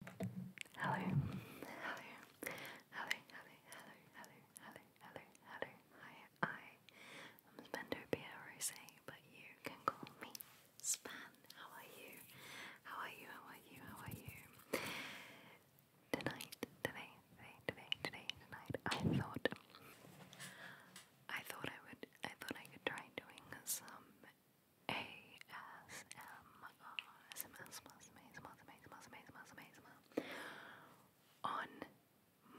Hello, hello, hello, hello, hello, hello, hello, hello, Hi, I am Spendopia Rose, but you can call me Span. How are you? How are you? How are you? How are you? Tonight, today, today, today, today, tonight, I thought, I thought I would, I thought I could try doing some ASMR on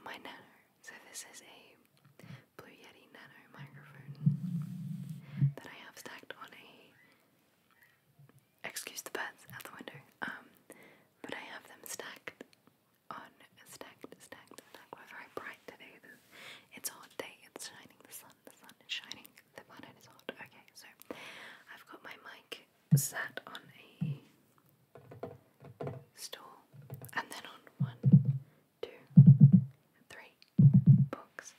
my Nano. So this is a Blue Yeti Nano microphone that I have stacked on a excuse the birds out the window. Um but I have them stacked on stacked, stacked, stacked. We're very bright today. It's a hot day, it's shining, the sun, the sun is shining the pattern is odd. Okay, so I've got my mic sat on a stool and then on one, two, three books,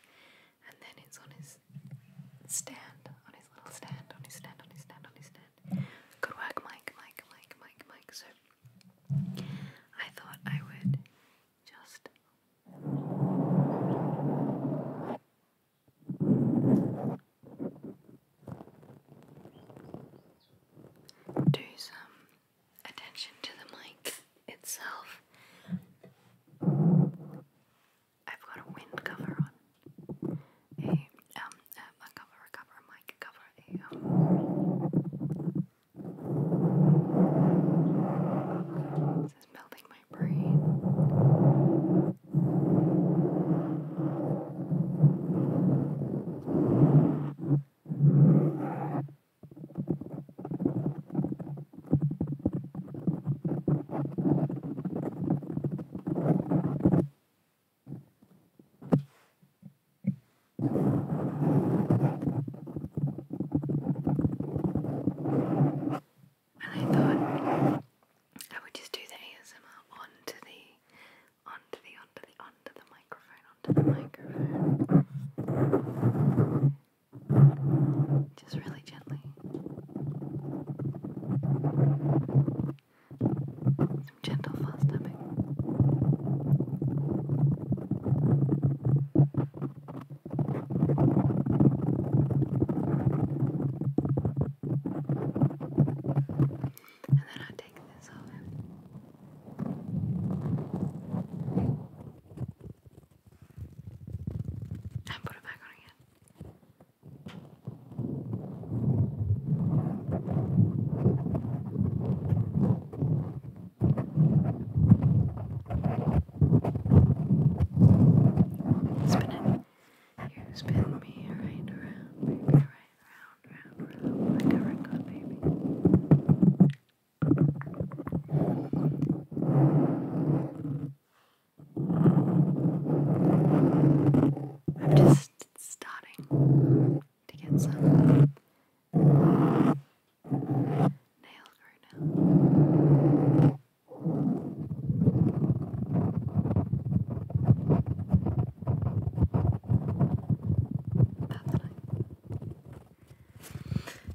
and then it's on his stand, on his little stand, on his stand, on his stand, on his stand. Good work, Mike, Mike, Mike, Mike, Mike. So I thought I would just do some attention to the mic itself. I've got a wind cover on. A um cover, cover, mic cover, um is melting my brain and I thought I would just do the ASMR onto the onto the onto the onto the microphone onto the microphone just really gently some gentle fast tapping and then I'll take this over. And put it back on again. Spin it. You spin me right around, baby, right round, round, round, like a record, baby. I'm just starting to get some nail right now. That's nice.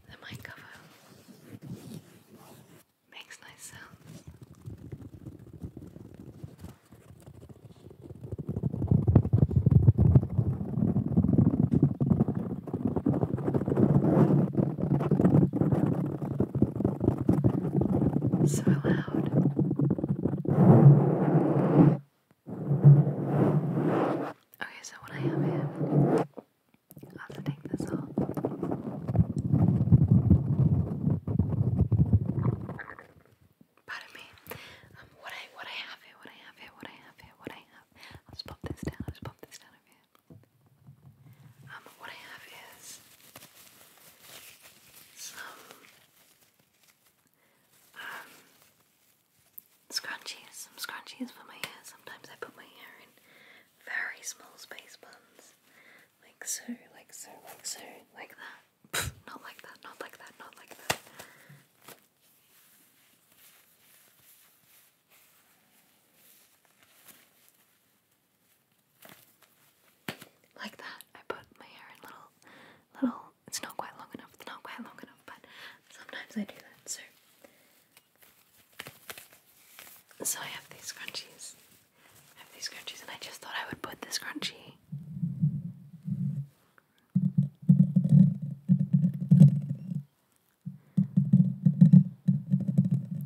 The mic cover makes nice sounds. So loud. Okay, so what I have here, I have to take this off. Pardon me. Um, what I what I have here, what I have here, what I have here, what I have. I'll just pop this down. I'll just pop this down over here. Um, what I have is some um, scrunchies, some scrunchies for my hair. Sometimes I put my hair in very small space buns, like so, like so, like so, like that. not like that, not like that, not like that. Like that, I put my hair in little, little. It's not quite long enough. It's not quite long enough, but sometimes I do that. So, so I have these scrunchies. I have these scrunchies, and I just thought I would put this scrunchie.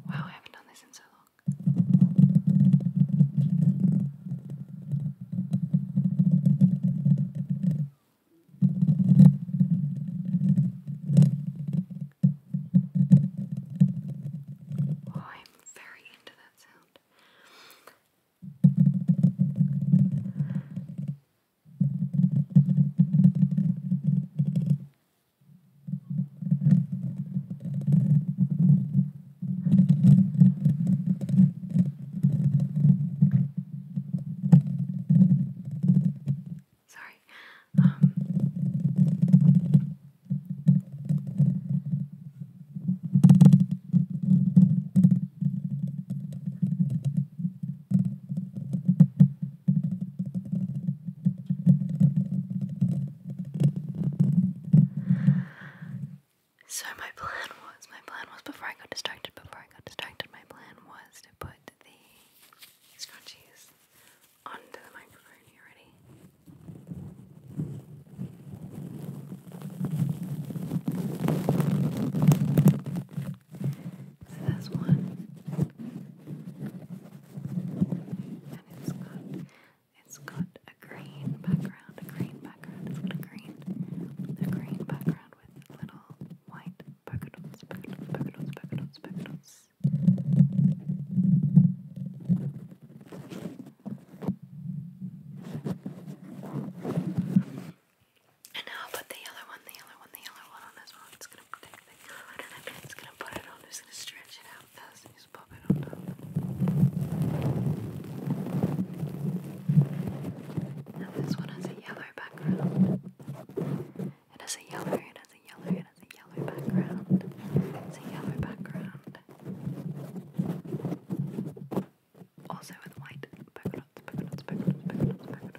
Wow, I haven't done this in so long. Oh, I'm very into that sound. Sorry. Um, so my plan was, my plan was before I got distracted, before I got distracted, my plan was to put the scrunchies onto the microphone. You ready? It's this one. And it's got it's got a green background, a green background, it's got a green a green background with little white polka dots, polka dots, polka dots, polka dots, polka dots. And now I'll put the yellow one, the yellow one, the yellow one on as well. It's gonna think I don't know if it's gonna put it on, I'm just gonna stretch it out first and just pop it on top. Now this one has a yellow background. It has a yellow, it has a yellow, it has a yellow background. It's a yellow background. Also with white polka dots, polka dots, polka dots, polka dots, polka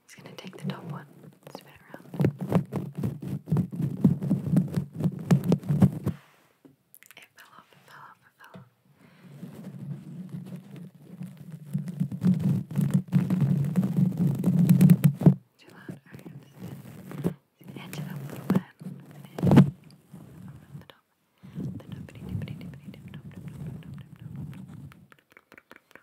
He's gonna take the top one, spin it around. It fell off, it fell off, it fell off. Too loud, alright, I'm just gonna edge it up a little bit. And over the top. The dippity dippity dippity dip dop dop dop dop dop dop dop dop dop dop dop dop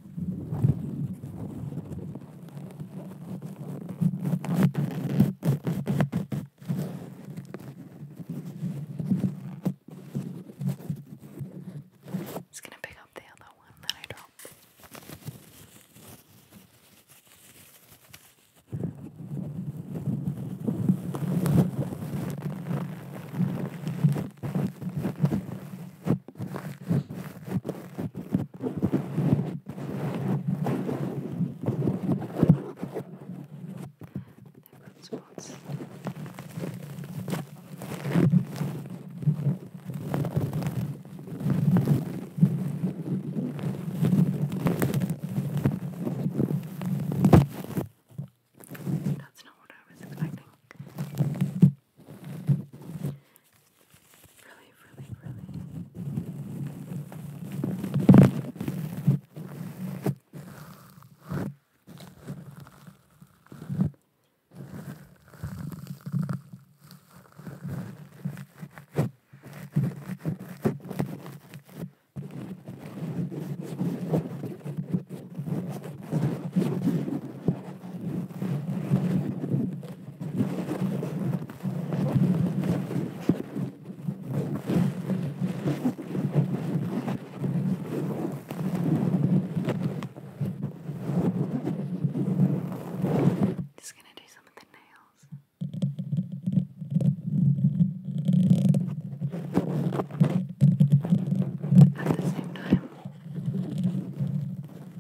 Just gonna pick up the other one that I dropped good spots. That's not what I was expecting really, really, really. Thank just going to do some of the nails. At the same time,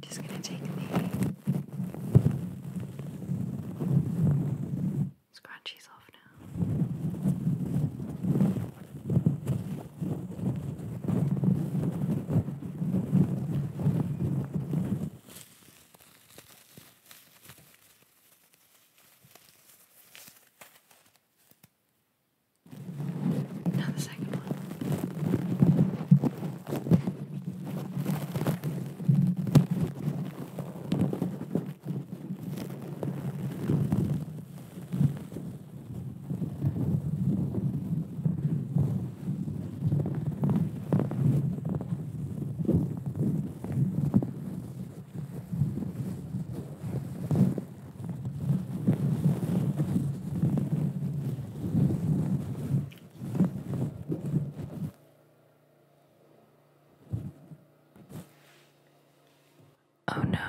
Just gonna take the scrunchies off now. Now the second one. Oh no.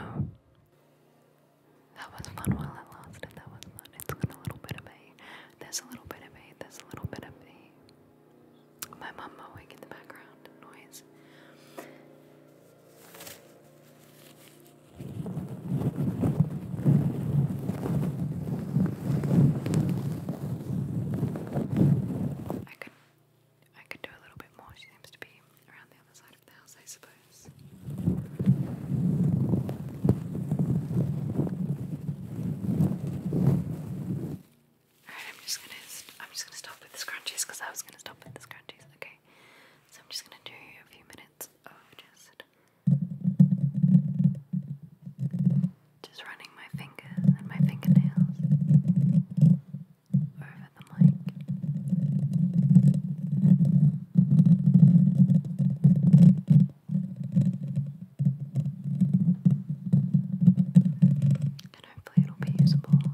That was fun while it lasted. That was fun. it a little bit of me. There's a little bit of me. There's a little bit of me. My mum awake in the background noise. I could I could do a little bit more. She seems to be around the other side of the house, I suppose. Alright, I'm just gonna i I'm just going to i am just going to stop with the scrunchies because I was gonna stop with the scrunchies. Okay. So I'm just gonna do a few minutes of just just running my fingers and my fingernails over the mic. And hopefully it'll be usable.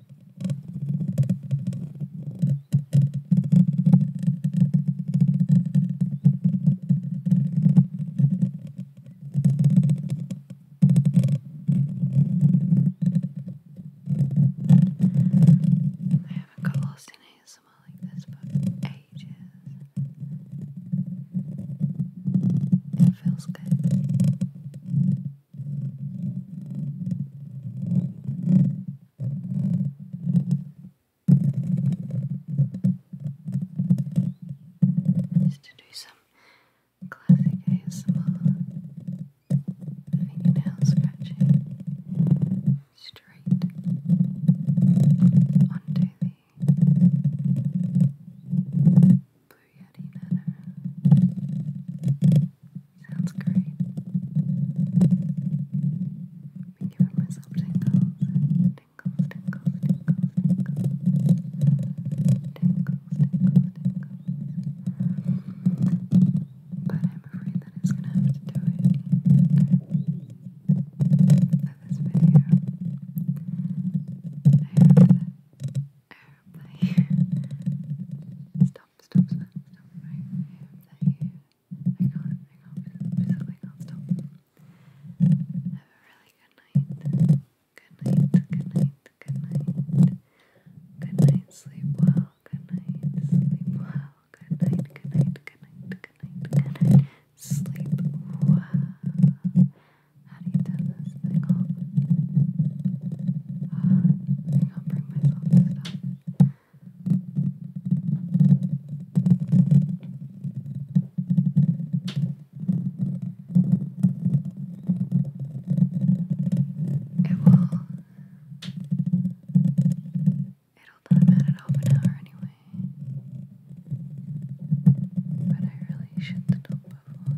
I haven't got lost in ASMR like this for ages. It feels good. Just to do some classic ASMR fingernail scratching straight onto the blue Sounds great. I've been giving myself tingles, tingles, tingles, tingles, tingles, tingles, tingles, tingles. But I'm afraid that it's gonna have to do it for this video. I hope airplane. Stop, stop, stop, stop. Right stop. Have a really good night. Good night, good night, good night. Good night, sleep well. Good night, sleep well. Good night, good night, good night, good night, good night. Sleep well. How do you turn this thing I can bring myself It will. It'll time out at half an hour anyway. But I really should stop before